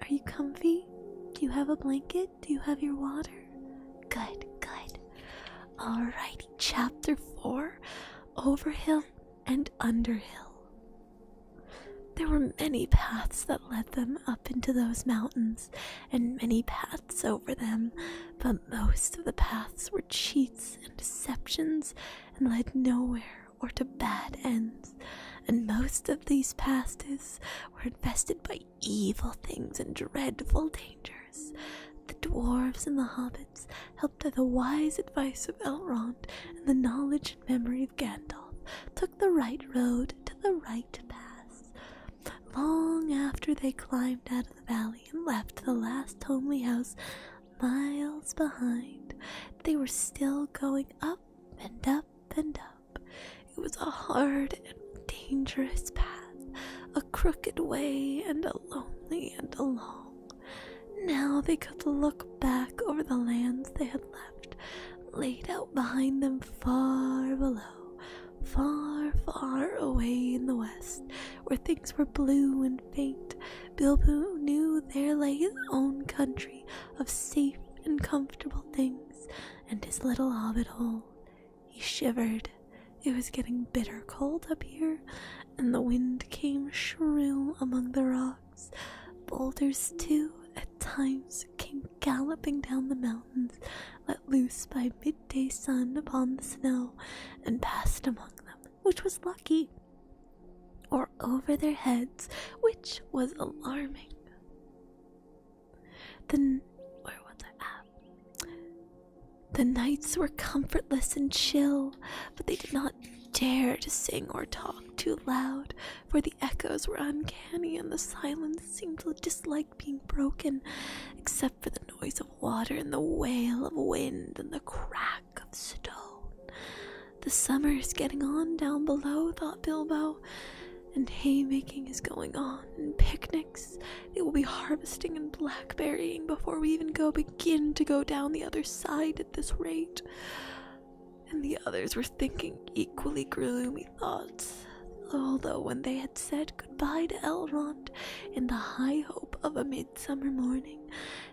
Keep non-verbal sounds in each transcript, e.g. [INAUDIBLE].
Are you comfy? Do you have a blanket? Do you have your water? Good, good. Alrighty, chapter 4 Overhill and Underhill. There were many paths that led them up into those mountains, and many paths over them, but most of the paths were cheats and deceptions and led nowhere or to bad ends, and most of these passes were infested by evil things and dreadful dangers. The dwarves and the hobbits, helped by the wise advice of Elrond and the knowledge and memory of Gandalf, took the right road to the right pass. Long after they climbed out of the valley and left the last homely house miles behind, they were still going up and up and up. It was a hard and dangerous path, a crooked way, and a lonely and a long. Now they could look back over the lands they had left, laid out behind them far below, far, far away in the west, where things were blue and faint. Bilbo knew there lay his own country of safe and comfortable things and his little hobbit hole. He shivered. It was getting bitter cold up here, and the wind came shrill among the rocks. Boulders, too, at times came galloping down the mountains, let loose by midday sun upon the snow, and passed among them, which was lucky or over their heads, which was alarming. Then, The nights were comfortless and chill, but they did not dare to sing or talk too loud, for the echoes were uncanny and the silence seemed to dislike being broken, except for the noise of water and the wail of wind and the crack of stone. The summer is getting on down below, thought Bilbo, and haymaking is going on, and picnics. They will be harvesting and blackberrying before we even go begin to go down the other side at this rate. And the others were thinking equally gloomy thoughts, although when they had said goodbye to Elrond in the high hope of a midsummer morning,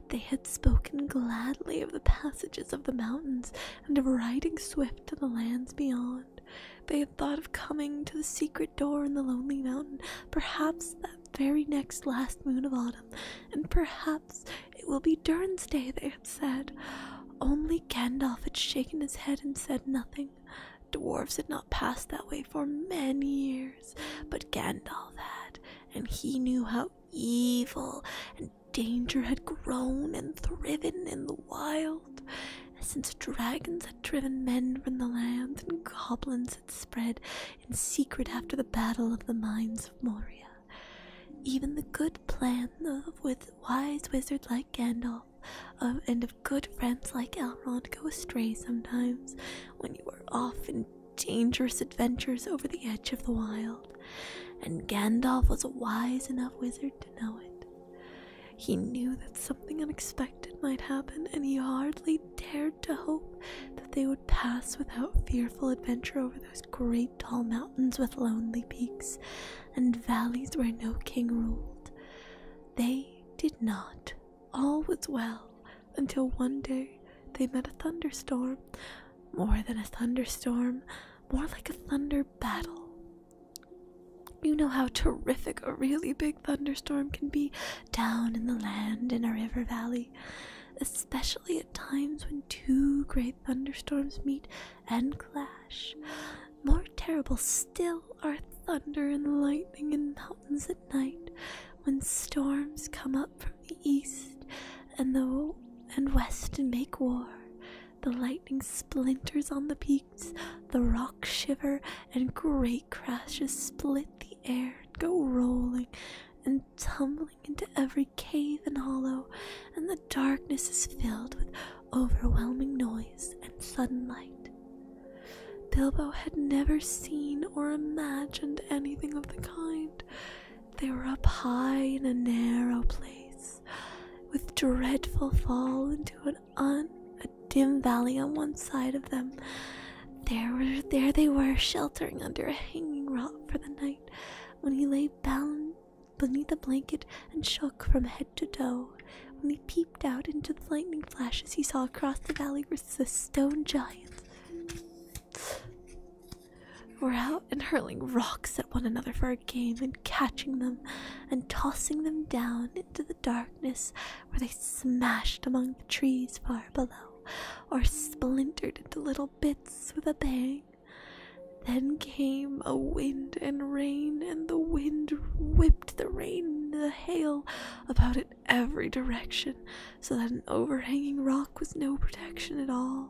they had spoken gladly of the passages of the mountains and of riding swift to the lands beyond. They had thought of coming to the secret door in the lonely mountain, perhaps that very next last moon of autumn, and perhaps it will be Durn's they had said. Only Gandalf had shaken his head and said nothing. Dwarves had not passed that way for many years, but Gandalf had, and he knew how evil and danger had grown and thriven in the wild, since dragons had driven men from the land and goblins had spread in secret after the battle of the mines of Moria. Even the good plan of with wise wizard like Gandalf uh, and of good friends like Elrond go astray sometimes when you are off in dangerous adventures over the edge of the wild and Gandalf was a wise enough wizard to know it. He knew that something unexpected might happen, and he hardly dared to hope that they would pass without fearful adventure over those great tall mountains with lonely peaks and valleys where no king ruled. They did not. All was well until one day they met a thunderstorm. More than a thunderstorm, more like a thunder battle. You know how terrific a really big thunderstorm can be down in the land in a river valley, especially at times when two great thunderstorms meet and clash. More terrible still are thunder and lightning in mountains at night when storms come up from the east and the and west make war. The lightning splinters on the peaks, the rocks shiver, and great crashes split the air and go rolling and tumbling into every cave and hollow, and the darkness is filled with overwhelming noise and sudden light. Bilbo had never seen or imagined anything of the kind. They were up high in a narrow place, with dreadful fall into an un a dim valley on one side of them. There were there they were sheltering under a hanging rock for the night, when he lay bound beneath a blanket and shook from head to toe. When he peeped out into the lightning flashes he saw across the valley were the stone giants. We're out and hurling rocks at one another for a game and catching them and tossing them down into the darkness where they smashed among the trees far below or splintered into little bits with a bang. Then came a wind and rain, and the wind whipped the rain and the hail about in every direction, so that an overhanging rock was no protection at all.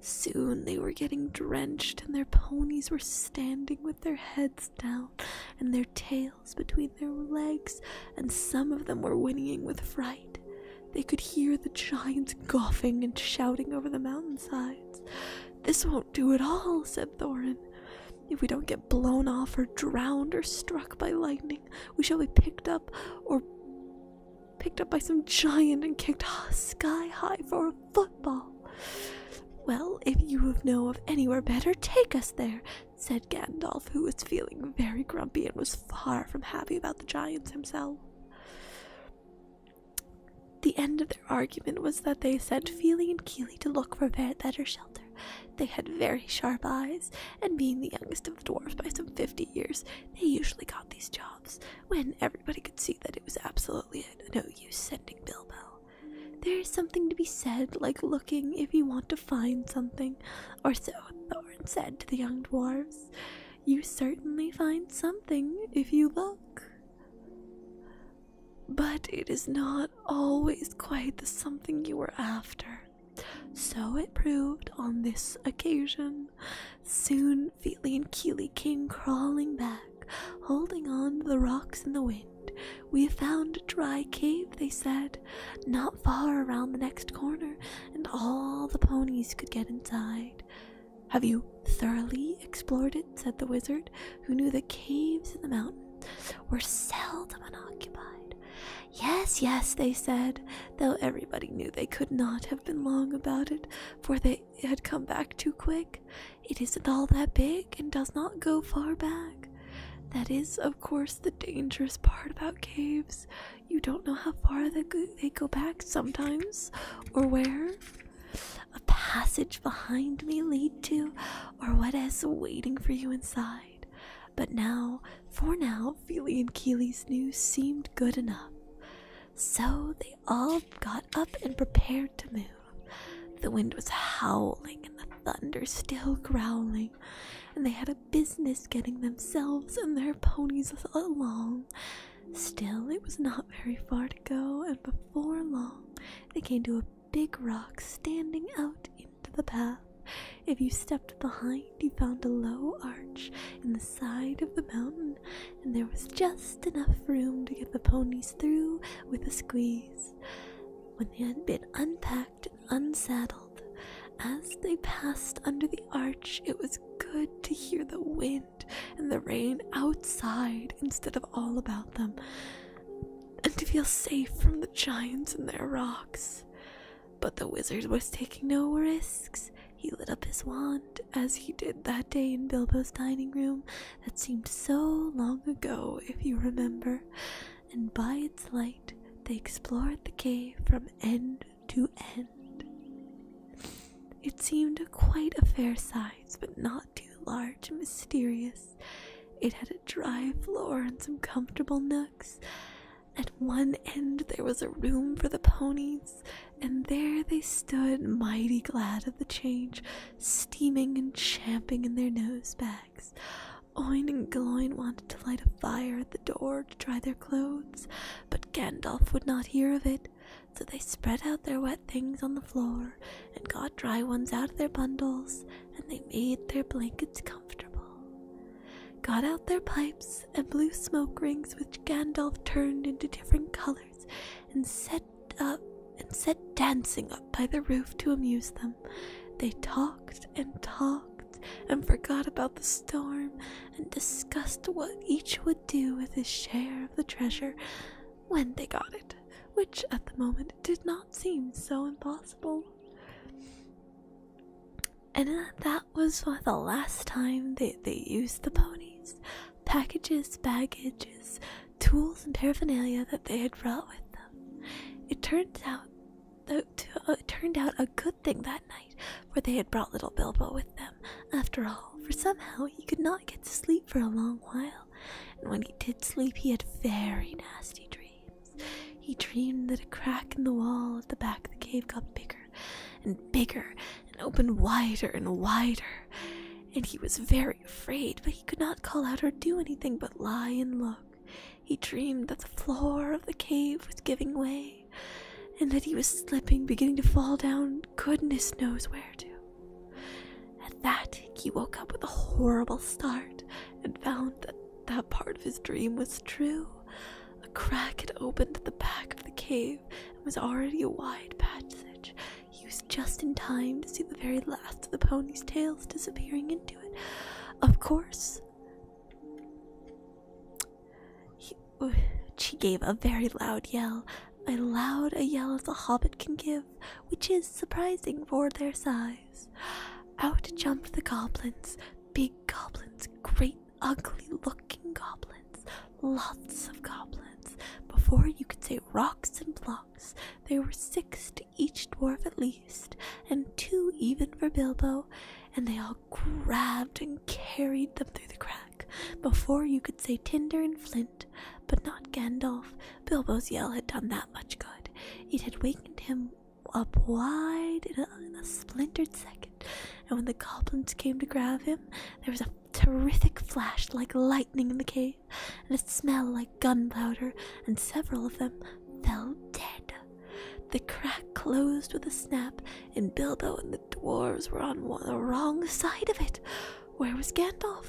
Soon they were getting drenched, and their ponies were standing with their heads down and their tails between their legs, and some of them were whinnying with fright. They could hear the giants coughing and shouting over the mountain sides. This won't do at all, said Thorin. If we don't get blown off or drowned or struck by lightning, we shall be picked up or picked up by some giant and kicked sky high for a football. Well, if you know of anywhere better, take us there, said Gandalf, who was feeling very grumpy and was far from happy about the giants himself. The end of their argument was that they sent Feely and Keely to look for better shelter. They had very sharp eyes, and being the youngest of them dwarfed by some 50 years, they usually got these jobs when everybody could see that it was absolutely no use sending Bilbo. There is something to be said, like looking if you want to find something, or so Thorn said to the young dwarves. You certainly find something if you look. But it is not always quite the something you were after. So it proved on this occasion. Soon Feely and Keely came crawling back, holding on to the rocks in the wind. We have found a dry cave, they said, not far around the next corner, and all the ponies could get inside. Have you thoroughly explored it? said the wizard, who knew the caves in the mountain were seldom unoccupied. Yes, yes, they said, though everybody knew they could not have been long about it, for they had come back too quick. It isn't all that big and does not go far back. That is, of course, the dangerous part about caves. You don't know how far they go, back sometimes, or where. A passage behind me lead to, or what is waiting for you inside. But now, for now, Feely and Keeley's news seemed good enough. So they all got up and prepared to move. The wind was howling and the thunder still growling, and they had a business getting themselves and their ponies along. Still, it was not very far to go, and before long, they came to a big rock standing out into the path. If you stepped behind, you found a low arch in the side of the mountain, and there was just enough room to get the ponies through with a squeeze. When they had been unpacked and unsaddled, as they passed under the arch, it was good to hear the wind and the rain outside instead of all about them, and to feel safe from the giants and their rocks. But the wizard was taking no risks. He lit up his wand, as he did that day in Bilbo's dining room that seemed so long ago, if you remember, and by its light they explored the cave from end to end. It seemed quite a fair size, but not too large and mysterious. It had a dry floor and some comfortable nooks, at one end there was a room for the ponies, and there they stood, mighty glad of the change, steaming and champing in their nose bags. Oin and Gloin wanted to light a fire at the door to dry their clothes, but Gandalf would not hear of it, so they spread out their wet things on the floor and got dry ones out of their bundles, and they made their blankets comfortable got out their pipes and blew smoke rings which Gandalf turned into different colors and set up and set dancing up by the roof to amuse them. They talked and talked and forgot about the storm and discussed what each would do with his share of the treasure when they got it, which at the moment did not seem so impossible. And that was the last time they, they used the ponies. Packages, baggages, tools, and paraphernalia that they had brought with them. It turned out, uh, it turned out a good thing that night, for they had brought little Bilbo with them. After all, for somehow he could not get to sleep for a long while, and when he did sleep, he had very nasty dreams. He dreamed that a crack in the wall at the back of the cave got bigger and bigger and opened wider and wider, and he was very afraid, but he could not call out or do anything but lie and look. He dreamed that the floor of the cave was giving way, and that he was slipping, beginning to fall down goodness knows where to. At that, he woke up with a horrible start and found that that part of his dream was true. A crack had opened at the back of the cave and was already a wide passage. He was just in time to see the very last of the pony's tails disappearing into it. Of course, he, she gave a very loud yell, as loud a yell as a hobbit can give, which is surprising for their size. Out jumped the goblins, big goblins, great ugly looking goblins, lots of goblins. Before you could say rocks and blocks, there were six to each dwarf at least, and two even for Bilbo, and they all grabbed and carried them through the crack. Before you could say tinder and flint, but not Gandalf, Bilbo's yell had done that much good. It had wakened him up wide in a, splintered second, and when the goblins came to grab him, there was a terrific flash like lightning in the cave, and a smell like gunpowder, and several of them fell dead. The crack closed with a snap, and Bilbo and the dwarves were on the wrong side of it. Where was Gandalf?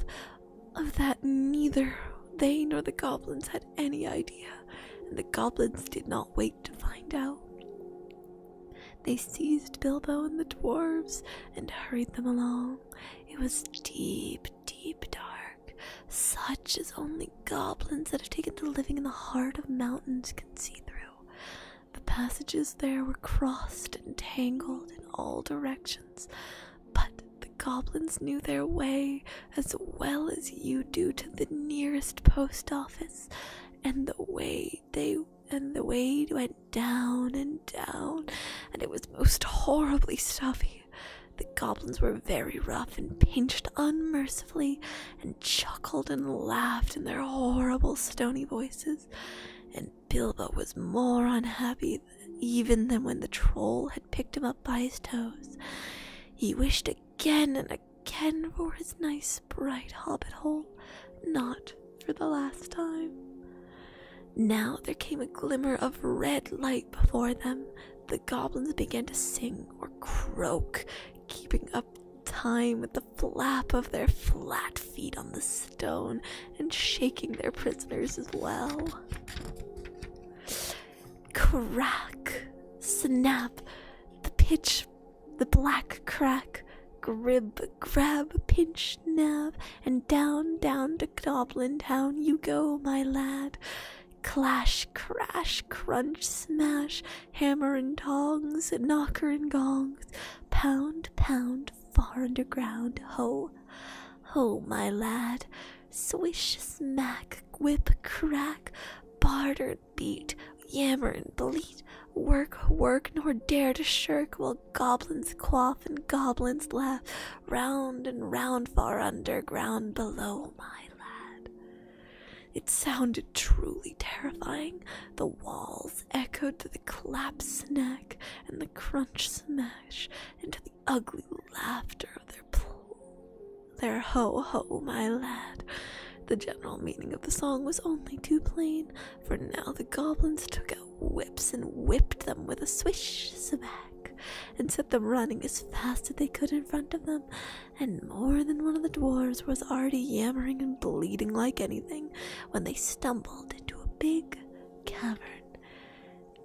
Of that, neither they nor the goblins had any idea and the goblins did not wait to find out. They seized Bilbo and the dwarves and hurried them along. It was deep, deep dark, such as only goblins that have taken to living in the heart of mountains can see through. The passages there were crossed and tangled in all directions, but the goblins knew their way as well as you do to the nearest post office and the way they and the way went down and down and it was most horribly stuffy the goblins were very rough and pinched unmercifully and chuckled and laughed in their horrible stony voices and bilbo was more unhappy even than when the troll had picked him up by his toes he wished a again and again for his nice bright hobbit hole, not for the last time. Now there came a glimmer of red light before them. The goblins began to sing or croak, keeping up time with the flap of their flat feet on the stone and shaking their prisoners as well. Crack, snap, the pitch, the black crack, grip, grab, pinch, nab, and down, down to Goblin Town you go, my lad. Clash, crash, crunch, smash, hammer and tongs, knocker and gongs, pound, pound, far underground, ho, ho, my lad. Swish, smack, whip, crack, barter, beat, yammer, and bleat, work, work, nor dare to shirk while goblins quaff and goblins laugh, round and round far underground below, my lad. It sounded truly terrifying. The walls echoed to the clap snack and the crunch smash, and the ugly laughter of their pl their ho ho, my lad. The general meaning of the song was only too plain, for now the goblins took out whips and whipped them with a swish smack, and set them running as fast as they could in front of them, and more than one of the dwarfs was already yammering and bleeding like anything when they stumbled into a big cavern.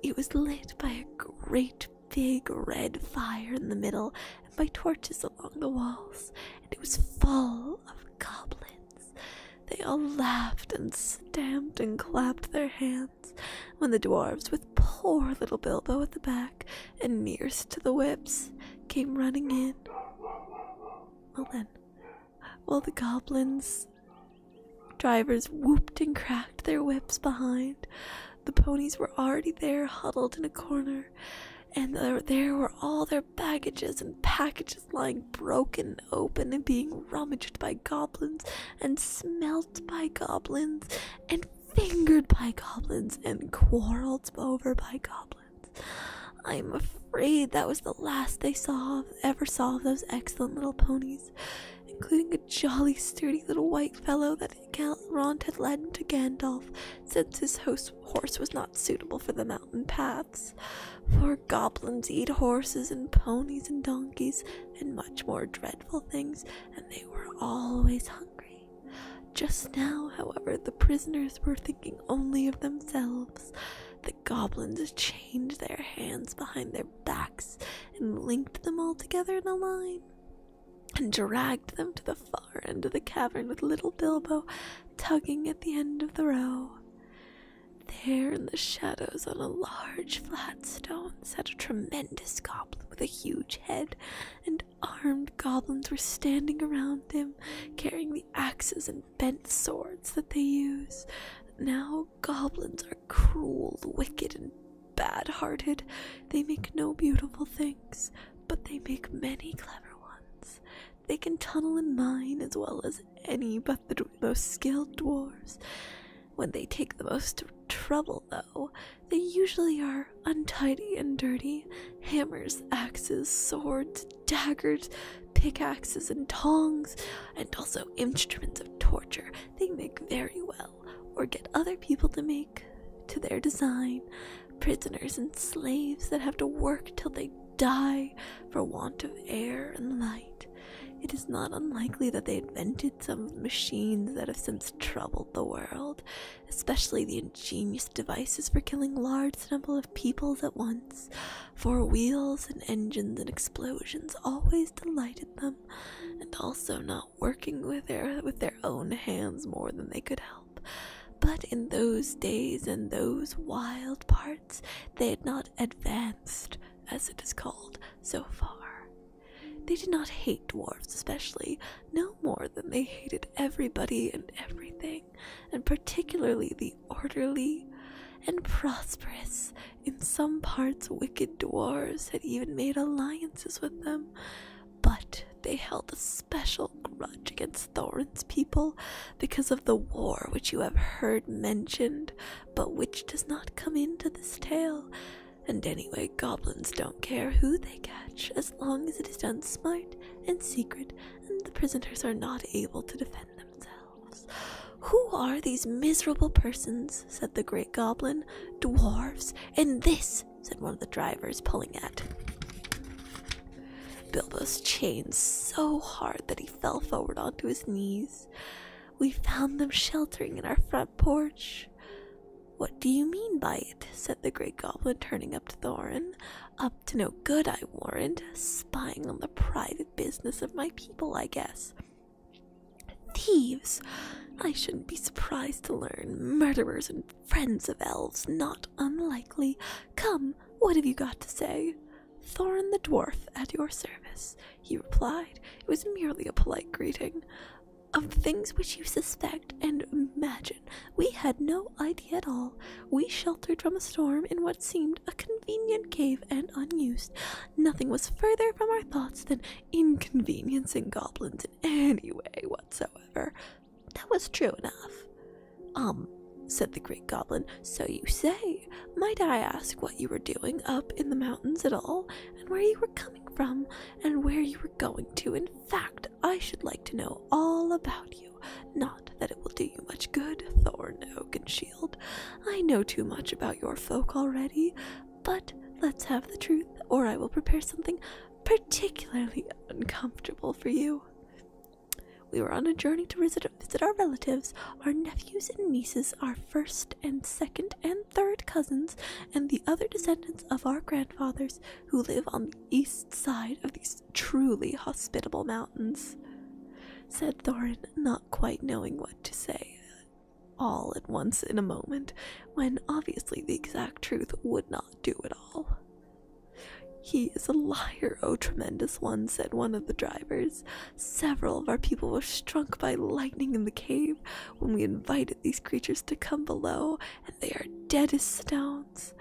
It was lit by a great big red fire in the middle, and by torches along the walls, and it was full of goblins. They all laughed and stamped and clapped their hands when the dwarves, with poor little Bilbo at the back and nearest to the whips, came running in. Well then, while the goblins drivers whooped and cracked their whips behind, the ponies were already there, huddled in a corner, and there, were all their baggages and packages lying broken open and being rummaged by goblins, and smelt by goblins, and fingered by goblins, and quarreled over by goblins. I'm afraid that was the last they saw of, ever saw of those excellent little ponies including a jolly, sturdy little white fellow that Galrond had lent to Gandalf, since his host's horse was not suitable for the mountain paths. For goblins eat horses and ponies and donkeys and much more dreadful things, and they were always hungry. Just now, however, the prisoners were thinking only of themselves. The goblins chained their hands behind their their backs and linked them all together in a line, and dragged them to the far end of the cavern with little Bilbo tugging at the end of the row. There in the shadows on a large flat stone sat a tremendous goblin with a huge head, and armed goblins were standing around him, carrying the axes and bent swords that they use. Now goblins are cruel, wicked, and bad hearted. They make no beautiful things, but they make many clever ones. They can tunnel and mine as well as any but the most skilled dwarfs. When they take the most trouble, though, they usually are untidy and dirty. Hammers, axes, swords, daggers, pickaxes, and tongs, and also instruments of torture. They make very well or get other people to make, to their design, prisoners and slaves that have to work till they die for want of air and light. It is not unlikely that they invented some machines that have since troubled the world, especially the ingenious devices for killing large number of people at once, for wheels and engines and explosions always delighted them and also not working with their with their own hands more than they could help but in those days and those wild parts they had not advanced as it is called so far they did not hate dwarfs especially no more than they hated everybody and everything and particularly the orderly and prosperous in some parts, wicked dwarfs had even made alliances with them, but they held a special grudge against Thorin's people because of the war which you have heard mentioned, but which does not come into this tale. And anyway, goblins don't care who they catch as long as it is done smart and secret, and the prisoners are not able to defend themselves. Who are these miserable persons? said the great goblin. Dwarfs, and this, said one of the drivers, pulling at. Bilbo's chained so hard that he fell forward onto his knees. We found them sheltering in our front porch. What do you mean by it? said the great goblin, turning up to Thorin. Up to no good, I warrant. Spying on the private business of my people, I guess. Thieves! I shouldn't be surprised to learn. Murderers and friends of elves, not unlikely. Come, what have you got to say? Thorn the dwarf at your service, he replied. It was merely a polite greeting. Of things which you suspect and imagine, we had no idea at all. We sheltered from a storm in what seemed a convenient cave and unused, nothing was further from our thoughts than inconveniencing goblins in any way whatsoever. That was true enough. Um, said the great goblin, so you say. Might I ask what you were doing up in the mountains at all, and where you were coming from, and where you were going to? In fact, I should like to know all about you. Not that it will do you much good, Thorn Oak and I know too much about your folk already, but let's have the truth, or I will prepare something particularly uncomfortable for you. We were on a journey to visit, visit our relatives, our nephews and nieces, our first and second and third cousins, and the other descendants of our grandfathers who live on the east side of these truly hospitable mountains, said Thorin, not quite knowing what to say all at once in a moment when obviously the exact truth would not do at all. He is a liar, O tremendous one, said one of the drivers. Several of our people were struck by lightning in the cave when we invited these creatures to come below, and they are dead as stones.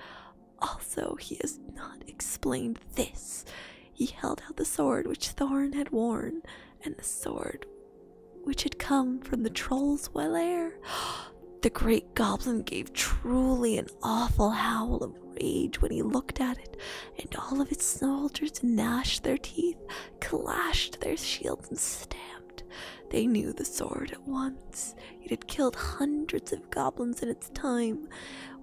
Also, he has not explained this he held out the sword which Thorn had worn, and the sword which had come from the troll's well air. [GASPS] The great goblin gave truly an awful howl of rage when he looked at it, and all of its soldiers gnashed their teeth, clashed their shields, and stamped. They knew the sword at once. It had killed hundreds of goblins in its time,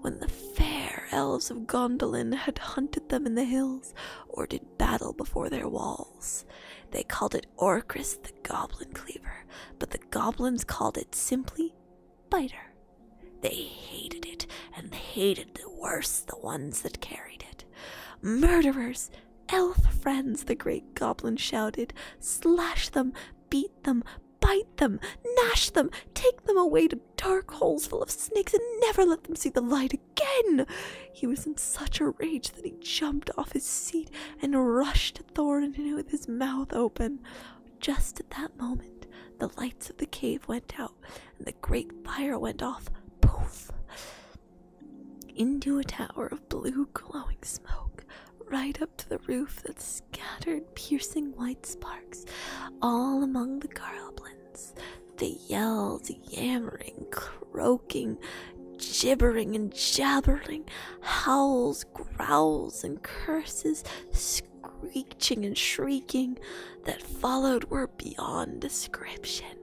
when the fair elves of Gondolin had hunted them in the hills or did battle before their walls. They called it Orcris the Goblin Cleaver, but the goblins called it simply Biter. They hated it, and hated the worse the ones that carried it. Murderers! Elf friends, the great goblin shouted. Slash them, beat them, bite them, gnash them, take them away to dark holes full of snakes and never let them see the light again. He was in such a rage that he jumped off his seat and rushed at Thorin with his mouth open. Just at that moment, the lights of the cave went out and the great fire went off. Poof! Into a tower of blue glowing smoke, right up to the roof that scattered piercing white sparks all among the garblins villains. They yelled, yammering, croaking, gibbering and jabbering, howls, growls, and curses, screeching and shrieking, that followed were beyond description.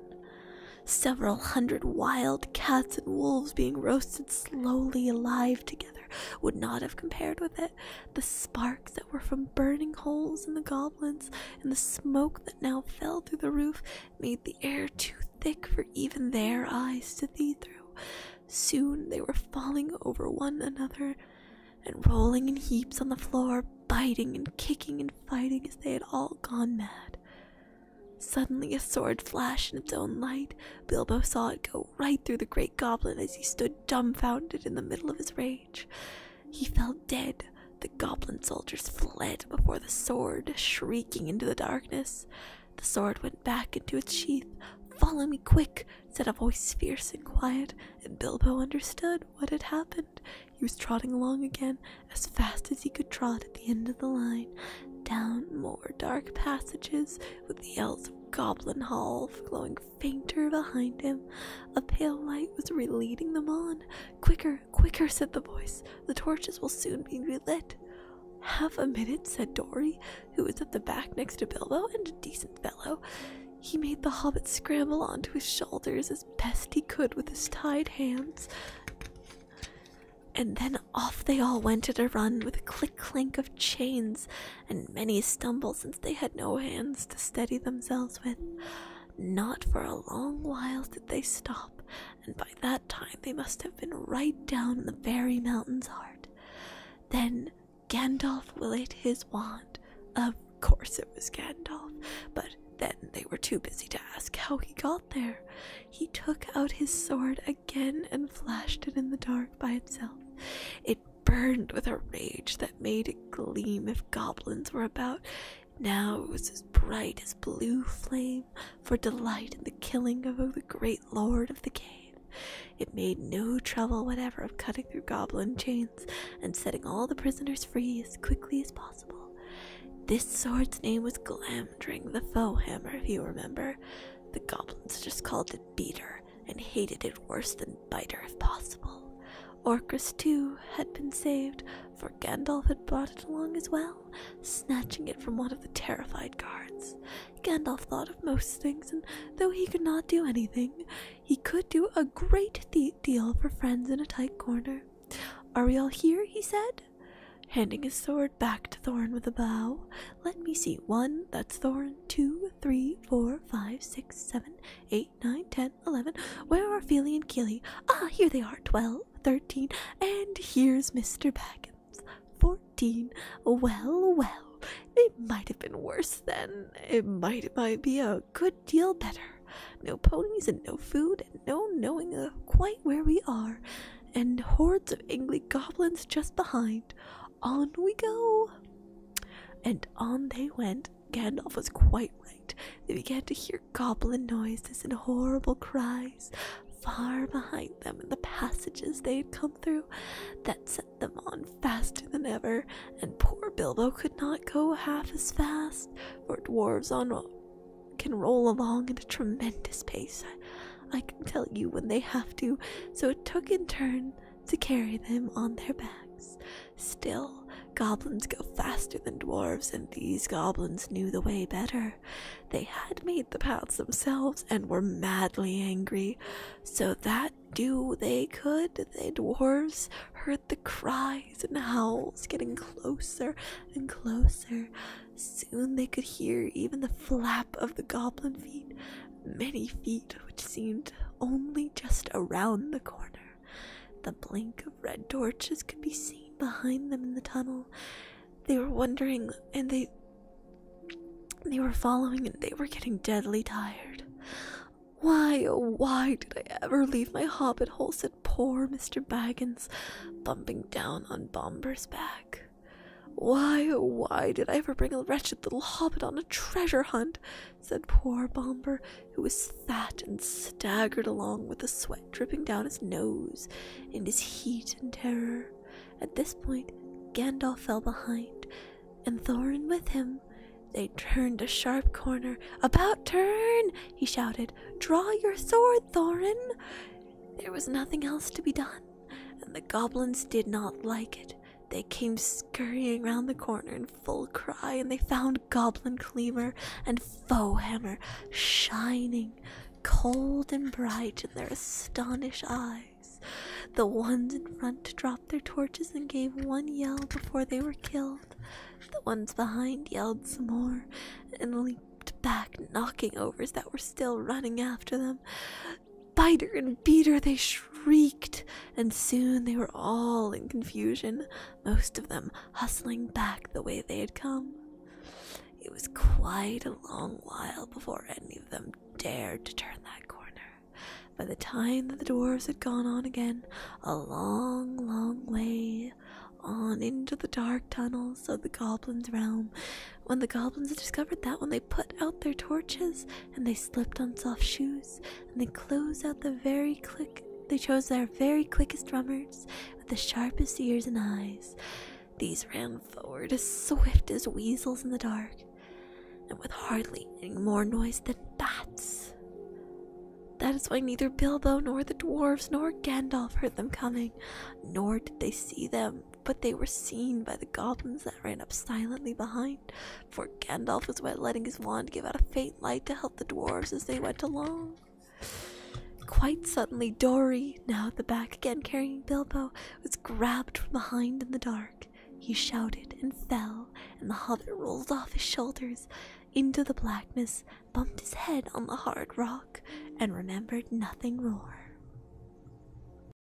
Several hundred wild cats and wolves being roasted slowly alive together would not have compared with it. The spark that were from burning holes in the goblins, and the smoke that now fell through the roof made the air too thick for even their eyes to see through. Soon they were falling over one another and rolling in heaps on the floor, biting and kicking and fighting as they had all gone mad. Suddenly, a sword flashed in its own light. Bilbo saw it go right through the great goblin as he stood dumbfounded in the middle of his rage. He fell dead. The goblin soldiers fled before the sword, shrieking into the darkness. The sword went back into its sheath. Follow me quick, said a voice fierce and quiet, and Bilbo understood what had happened. He was trotting along again, as fast as he could trot at the end of the line, down more dark passages, with the elves of Goblin Hall flowing fainter behind him. A pale light was relighting them on. Quicker, quicker, said the voice. The torches will soon be relit. Half a minute, said Dory, who was at the back next to Bilbo and a decent fellow. He made the hobbit scramble onto his shoulders as best he could with his tied hands. And then off they all went at a run with a click clank of chains and many stumbled since they had no hands to steady themselves with. Not for a long while did they stop, and by that time they must have been right down in the very mountain's heart. Then Gandalf willed his wand. Of course it was Gandalf, but then they were too busy to ask how he got there. He took out his sword again and flashed it in the dark by itself. It burned with a rage that made it gleam if goblins were about. Now it was as bright as blue flame for delight in the killing of the great lord of the cave. It made no trouble whatever of cutting through goblin chains and setting all the prisoners free as quickly as possible. This sword's name was Glamdring the Foe Hammer, if you remember. The goblins just called it Beater and hated it worse than Biter if possible. Orcus, too, had been saved, for Gandalf had brought it along as well, snatching it from one of the terrified guards. Gandalf thought of most things, and though he could not do anything, he could do a great deal for friends in a tight corner. Are we all here? he said, handing his sword back to Thorin with a bow. Let me see. One, that's Thorin. Two, Three, four, five, six, seven, eight, nine, ten, eleven. Where are Feely and Keely? Ah, here they are. Twelve, thirteen, And here's Mr. Baggins. 14. Well, well. It might have been worse then. It might, it might be a good deal better. No ponies and no food and no knowing uh, quite where we are, and hordes of ugly goblins just behind. On we go. And on they went. Gandalf was quite right. They began to hear goblin noises and horrible cries far behind them in the passages they had come through that set them on faster than ever, and poor Bilbo could not go half as fast, for dwarves on can roll along at a tremendous pace. I can tell you when they have to, so it took in turn to carry them on their backs. Still, goblins go faster than dwarves, and these goblins knew the way better. They had made the paths themselves and were madly angry. So that do they could, the dwarves heard the cries and howls getting closer and closer. Soon they could hear even the flap of the goblin feet many feet which seemed only just around the corner. The blink of red torches could be seen behind them in the tunnel. They were wondering and they they were following and they were getting deadly tired. Why, oh why did I ever leave my hobbit hole? said poor Mr. Baggins, bumping down on Bomber's back. Why, oh why did I ever bring a wretched little hobbit on a treasure hunt, said poor Bomber, who was fat and staggered along with the sweat dripping down his nose in his heat and terror. At this point, Gandalf fell behind, and Thorin with him. They turned a sharp corner. About turn! he shouted. Draw your sword, Thorin! There was nothing else to be done, and the goblins did not like it. They came scurrying round the corner in full cry, and they found Goblin Cleaver and Foe Hammer shining cold and bright in their astonished eyes. The ones in front dropped their torches and gave one yell before they were killed. The ones behind yelled some more and leaped back, knocking overs that were still running after them. Biter and Beater, they shrieked, and soon they were all in confusion, most of them hustling back the way they had come. It was quite a long while before any of them dared to turn that corner. By the time that the dwarfs had gone on again, a long, long way on into the dark tunnels of the goblins' realm, when the goblins had discovered that when they put out their torches, and they slipped on soft shoes, and they chose out the very quick they chose their very quickest runners with the sharpest ears and eyes. These ran forward as swift as weasels in the dark, and with hardly any more noise than bats. That is why neither Bilbo nor the dwarves nor Gandalf heard them coming, nor did they see them, but they were seen by the goblins that ran up silently behind, for Gandalf was by letting his wand give out a faint light to help the dwarves as they went along. Quite suddenly, Dory, now at the back again carrying Bilbo, was grabbed from behind in the dark. He shouted and fell, and the hobbit rolled off his shoulders into the blackness, bumped his head on the hard rock, and remembered nothing more.